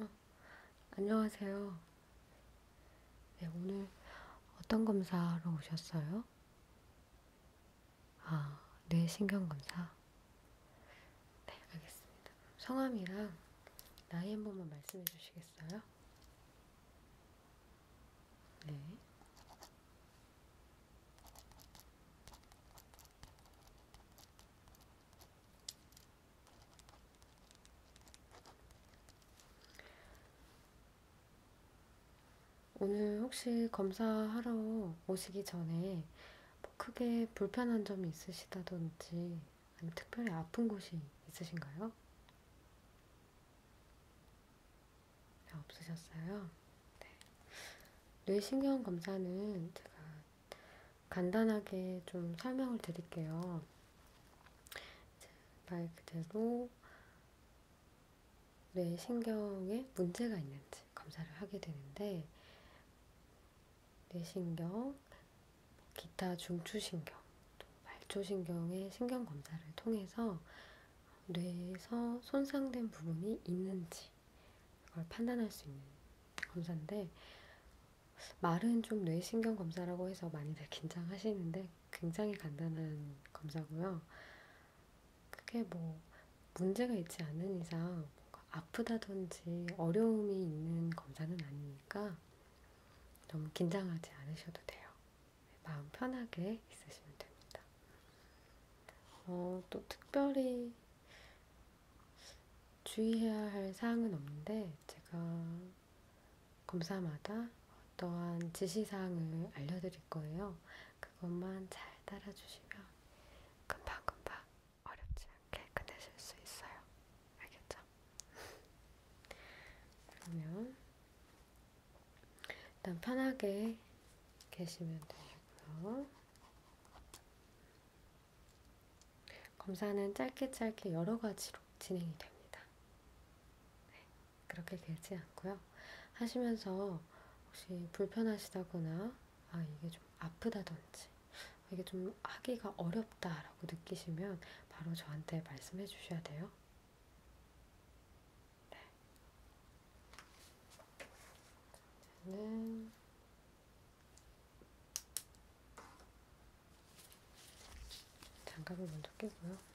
어, 안녕하세요. 네, 오늘 어떤 검사로 오셨어요? 아, 뇌신경검사. 네, 네, 알겠습니다. 성함이랑 나이 한 번만 말씀해 주시겠어요? 네. 오늘 혹시 검사하러 오시기 전에 뭐 크게 불편한 점이 있으시다든지 아니면 특별히 아픈 곳이 있으신가요? 네, 없으셨어요? 네. 뇌신경 검사는 제가 간단하게 좀 설명을 드릴게요. 말 그대로 뇌신경에 문제가 있는지 검사를 하게 되는데 뇌신경, 기타 중추신경, 또 말초신경의 신경검사를 통해서 뇌에서 손상된 부분이 있는지 그걸 판단할 수 있는 검사인데 말은 좀 뇌신경 검사라고 해서 많이들 긴장하시는데 굉장히 간단한 검사고요. 그게 뭐 문제가 있지 않은 이상 아프다든지 어려움이 있는 검사는 아니니까 너무 긴장하지 않으셔도 돼요. 마음 편하게 있으시면 됩니다. 어, 또 특별히 주의해야 할 사항은 없는데 제가 검사마다 어떠한 지시사항을 알려드릴 거예요. 그것만 잘 따라주시면 금방금방 어렵지 않게 끝내실 수 있어요. 알겠죠? 그러면 일단 편하게 계시면 되고요. 검사는 짧게 짧게 여러 가지로 진행이 됩니다. 네, 그렇게 길지 않고요. 하시면서 혹시 불편하시다거나 아 이게 좀 아프다든지 이게 좀 하기가 어렵다라고 느끼시면 바로 저한테 말씀해 주셔야 돼요. 네. 저는 장갑을 먼저 끼고요.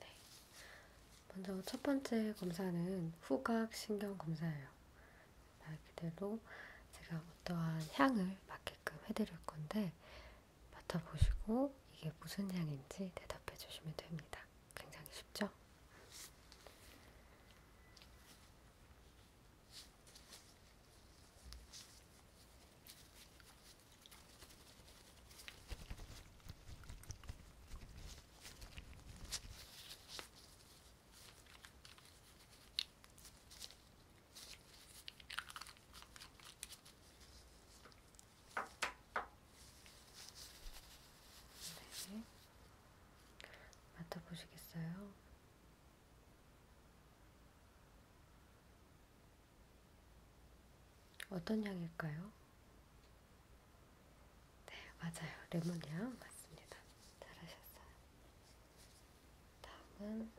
네. 먼저 첫 번째 검사는 후각 신경 검사예요. 말 그대로 제가 어떠한 향을 맡게끔 해드릴 건데 맡아보시고 이게 무슨 향인지 대답해 주시면 됩니다. 굉장히 쉽죠? 네. 맡아보시겠어요? 어떤 향일까요? 네, 맞아요. 레몬향 맞습니다. 잘하셨어요. 다음은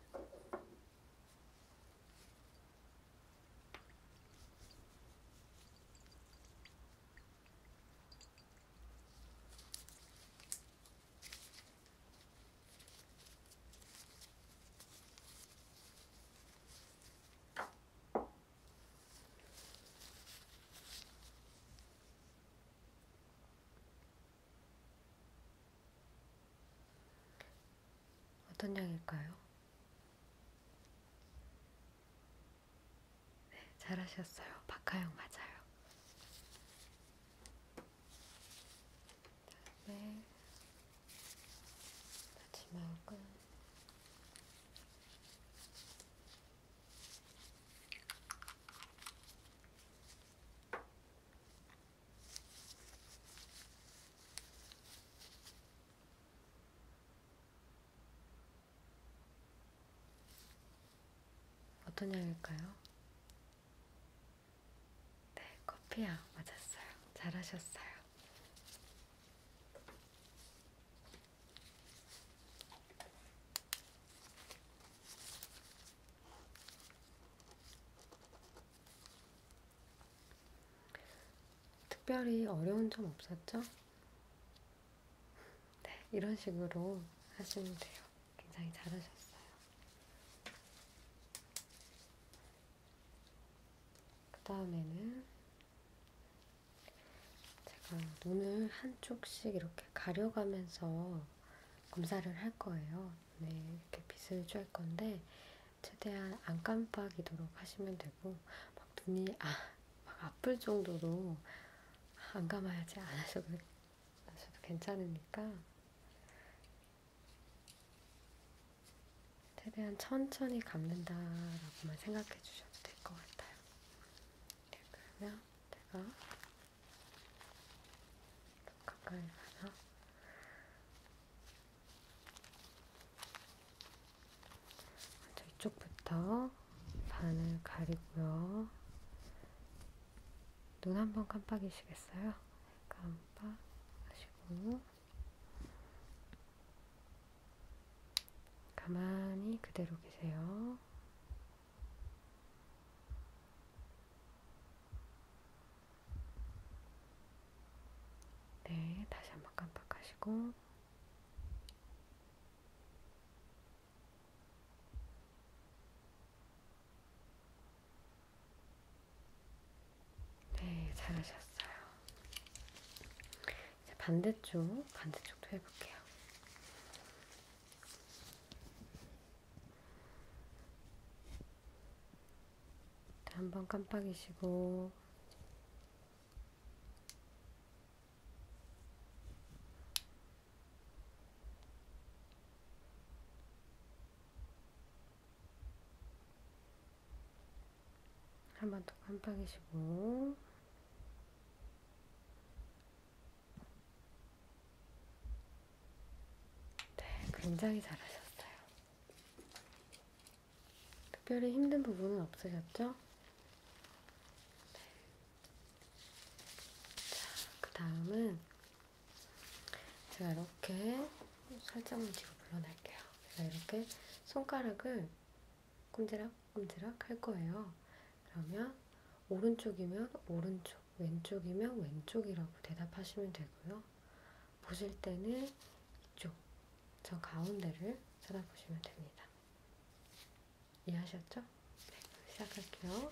어떤 양일까요? 네, 잘하셨어요. 박하영 맞아요. 다음에 네. 마지막은 어떤 향일까요? 네, 커피향 맞았어요. 잘하셨어요. 특별히 어려운 점 없었죠? 네, 이런 식으로 하시면 돼요. 굉장히 잘하셨어요. 그 다음에는 제가 눈을 한쪽씩 이렇게 가려가면서 검사를 할 거예요. 네, 이렇게 빛을 쬐 건데 최대한 안 깜빡이도록 하시면 되고 막 눈이 아, 막 아플 정도로 안 감아야지 안 하셔도, 안 하셔도 괜찮으니까 최대한 천천히 감는다라고만 생각해 주셔도 될 것 같아요. 네, 그러면 제가 가까이 가서 먼저 이쪽부터 반을 가리고요. 눈 한번 깜빡이시겠어요? 깜빡하시고 가만히 그대로 계세요. 네, 다시 한번 깜빡하시고. 네, 잘하셨어요. 이제 반대쪽, 반대쪽도 해볼게요. 한번 깜빡이시고 한번더 깜빡이시고 네, 굉장히 잘하셨어요. 특별히 힘든 부분은 없으셨죠? 네. 자, 그 다음은 제가 이렇게 살짝만 뒤로 물러날게요. 제가 이렇게 손가락을 꼼지락꼼지락 할 거예요. 그러면 오른쪽이면 오른쪽, 왼쪽이면 왼쪽이라고 대답하시면 되고요. 보실 때는 이쪽, 저 가운데를 찾아보시면 됩니다. 이해하셨죠? 네, 시작할게요.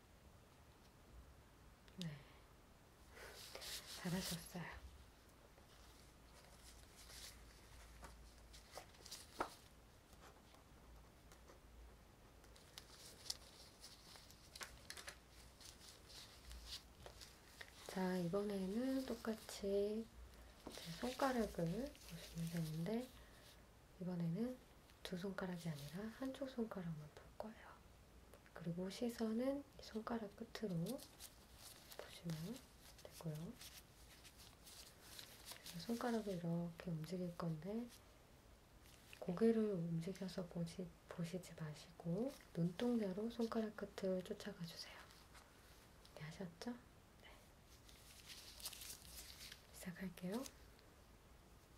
네. 잘하셨어요. 자, 이번에는 똑같이 제 손가락을 보시면 되는데, 이번에는 두 손가락이 아니라 한쪽 손가락만 볼 거예요. 그리고 시선은 손가락 끝으로 보시면 되고요. 손가락을 이렇게 움직일 건데 고개를 움직여서 보시, 보시지 마시고 눈동자로 손가락 끝을 쫓아가 주세요. 네, 하셨죠? 네. 시작할게요.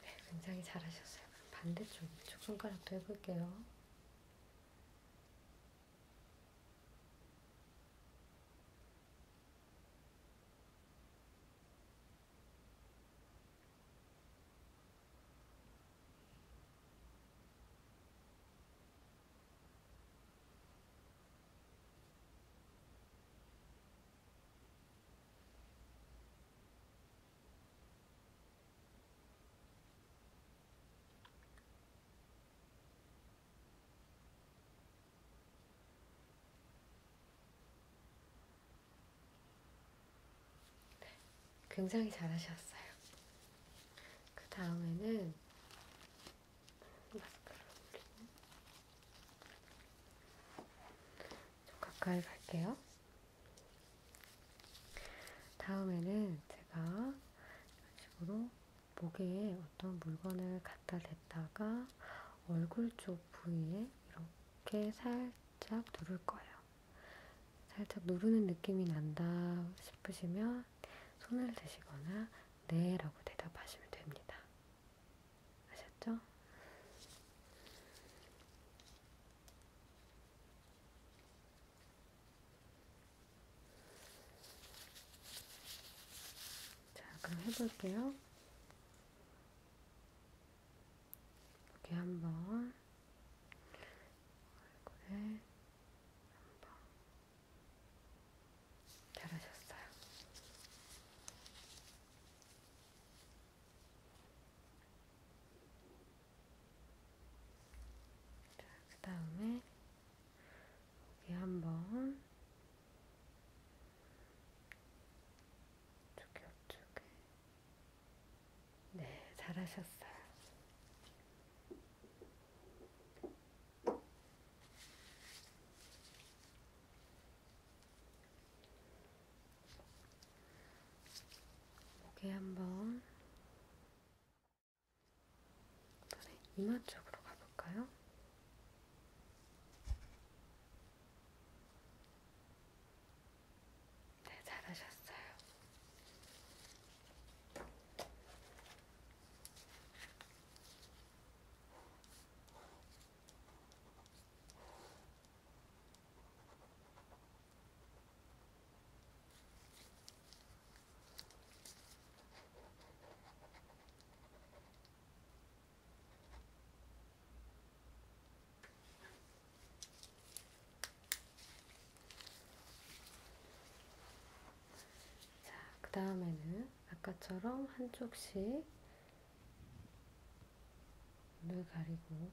네, 굉장히 잘하셨어요. 그럼 반대쪽 이쪽 손가락도 해볼게요. 굉장히 잘하셨어요. 그 다음에는 마스크를 올리고 좀 가까이 갈게요. 다음에는 제가 이런 식으로 목에 어떤 물건을 갖다 댔다가 얼굴 쪽 부위에 이렇게 살짝 누를 거예요. 살짝 누르는 느낌이 난다 싶으시면 손을 드시거나 네 라고 대답하시면 됩니다. 아셨죠? 자, 그럼 해볼게요. 여기 한번 얼굴에 네. 한번 잘하셨어요. 자, 그 다음에 여기 한번 이쪽에 이쪽에 네, 잘하셨어요. 목에 한번 이번에 이마 쪽으로 가볼까요? 네, 잘하셨어요. 자, 그 다음에는 아까처럼 한쪽씩 눈을 가리고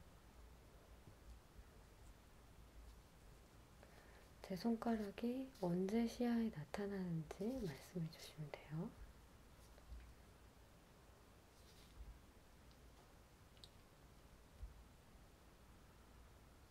제 손가락이 언제 시야에 나타나는지 말씀해 주시면 돼요.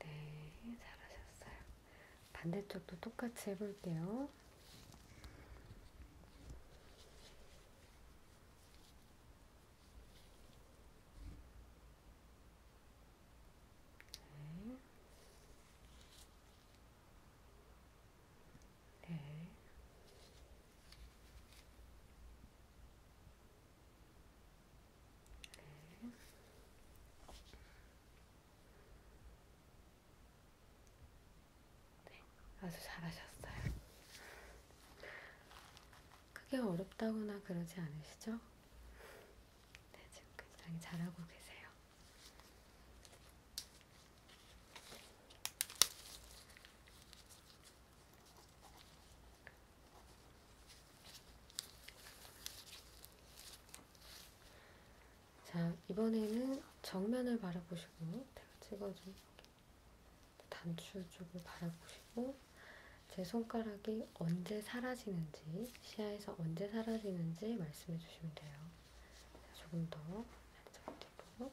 네, 잘하셨어요. 반대쪽도 똑같이 해볼게요. 네. 네. 네. 네, 아주 잘하셨어요. 크게 어렵다거나 그러지 않으시죠? 네, 지금 굉장히 잘하고 계세요. 자, 이번에는 정면을 바라보시고 제가 찍어준 단추 쪽을 바라보시고 제 손가락이 언제 사라지는지 시야에서 언제 사라지는지 말씀해 주시면 돼요. 조금 더 살짝 뒤로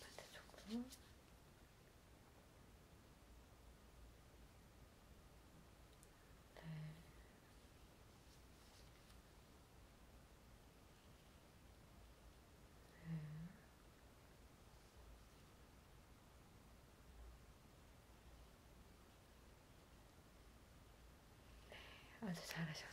반대쪽도 네. 네. 네. 네, 아주 잘하셨어요.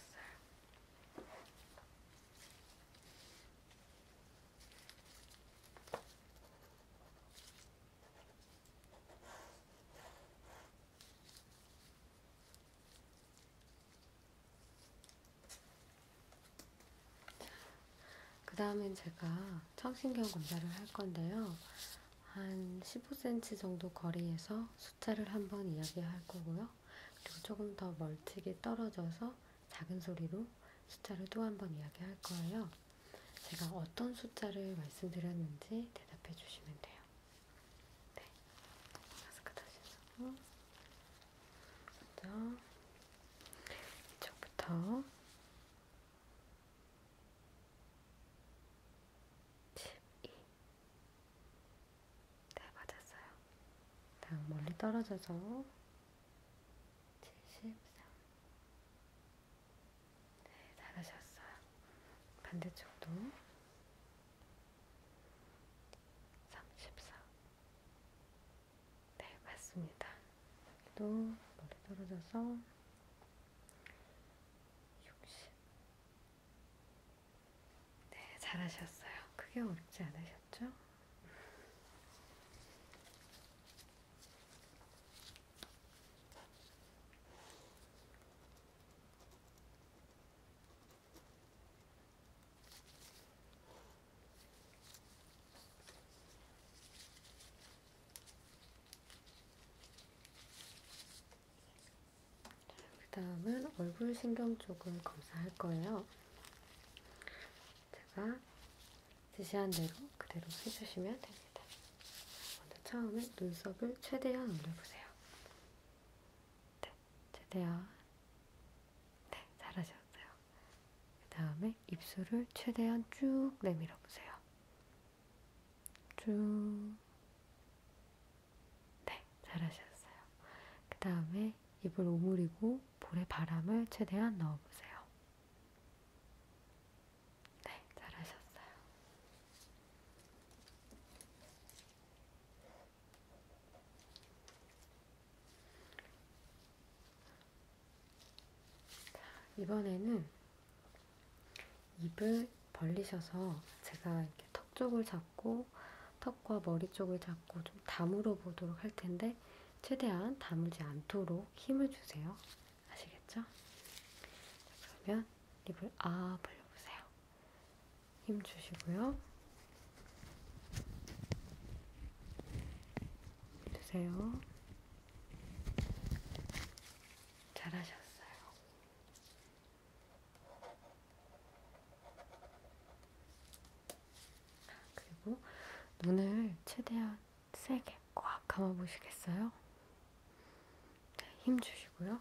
그 다음엔 제가 청신경 검사를 할 건데요. 한 15cm 정도 거리에서 숫자를 한번 이야기할 거고요. 그리고 조금 더 멀찍이 떨어져서 작은 소리로 숫자를 또 한 번 이야기할 거예요. 제가 어떤 숫자를 말씀드렸는지 대답해 주시면 돼요. 네. 마스크 다시 쓰고. 먼저, 이쪽부터 12, 11, 10, 9, 8, 7, 6, 5, 4, 3, 2, 1, 0. 네, 맞았어요. 다음 멀리 떨어져서 73. 네, 잘하셨어요. 반대쪽도 34. 네, 맞습니다. 또 멀리 떨어져서 60. 네, 잘하셨어요. 크게 어렵지 않으셨죠? 그 다음은 얼굴 신경 쪽을 검사할 거예요. 제가 지시한 대로 그대로 해주시면 됩니다. 먼저 처음에 눈썹을 최대한 올려보세요. 네, 최대한. 네, 잘하셨어요. 그 다음에 입술을 최대한 쭉 내밀어 보세요. 쭉. 네, 잘하셨어요. 그 다음에 입을 오므리고 볼에 바람을 최대한 넣어보세요. 네, 잘하셨어요. 자, 이번에는 입을 벌리셔서 제가 이렇게 턱 쪽을 잡 잡고 턱과 머리 쪽을 잡고 좀 다물어 보도록 할 텐데 최대한 다물지 않도록 힘을 주세요. 아시겠죠? 그러면 입을 아 벌려보세요. 힘 주시고요. 주세요. 잘하셨어요. 그리고 눈을 최대한 세게 꽉 감아 보시겠어요? 네, 힘 주시고요.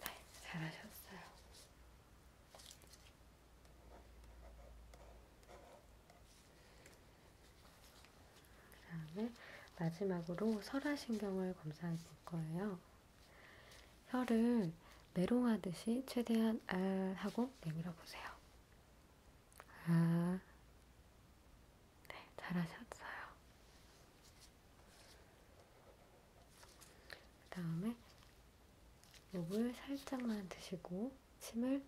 네, 잘하셨어요. 그 다음에 마지막으로 설화신경을 검사해 볼 거예요. 혀를 메롱하듯이 최대한 알 하고 내밀어 보세요. 아, 네, 잘하셨어요. 그 다음에 목을 살짝만 드시고 침을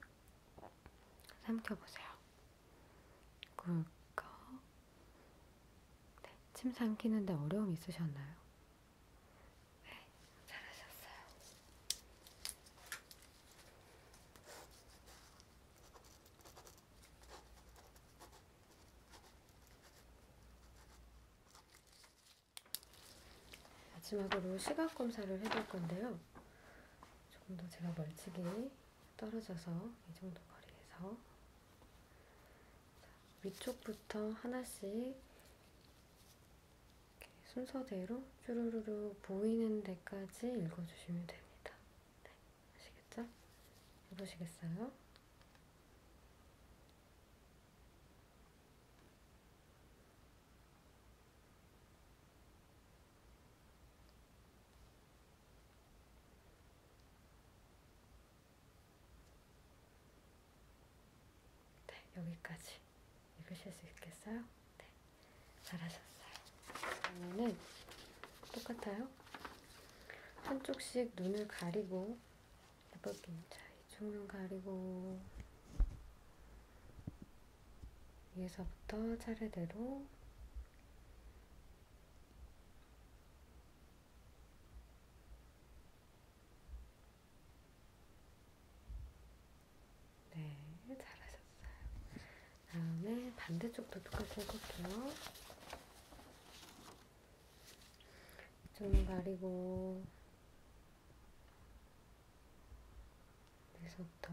삼켜보세요. 꿀꺽. 네, 침 삼키는데 어려움 있으셨나요? 네, 잘하셨어요. 마지막으로 시각 검사를 해볼 건데요. 조금 더 제가 멀찍이 떨어져서 이 정도 거리에서 자, 위쪽부터 하나씩 순서대로 쭈루루루 보이는 데까지 읽어주시면 됩니다. 네, 아시겠죠? 해보시겠어요? 네, 여기까지 읽으실 수 있겠어요? 네, 잘하셨어요. 다음에는 똑같아요. 한쪽씩 눈을 가리고 해볼게요. 자, 이쪽 눈 가리고 위에서부터 차례대로 네, 잘하셨어요. 다음에 반대쪽도 똑같이 해볼게요. 좀 가리고 여기서부터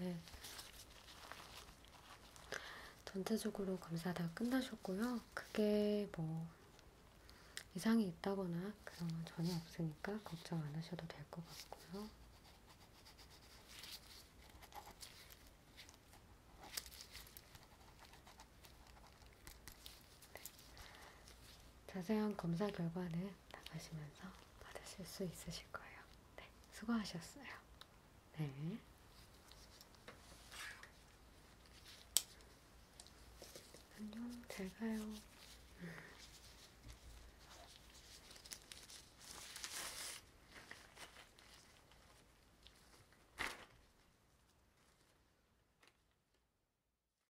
네. 전체적으로 검사 다 끝나셨고요. 크게 뭐 이상이 있다거나 그런 건 전혀 없으니까 걱정 안 하셔도 될 것 같고요. 자세한 검사 결과는 나가시면서 받으실 수 있으실 거예요. 네, 수고하셨어요. 네. 안녕, 잘 가요.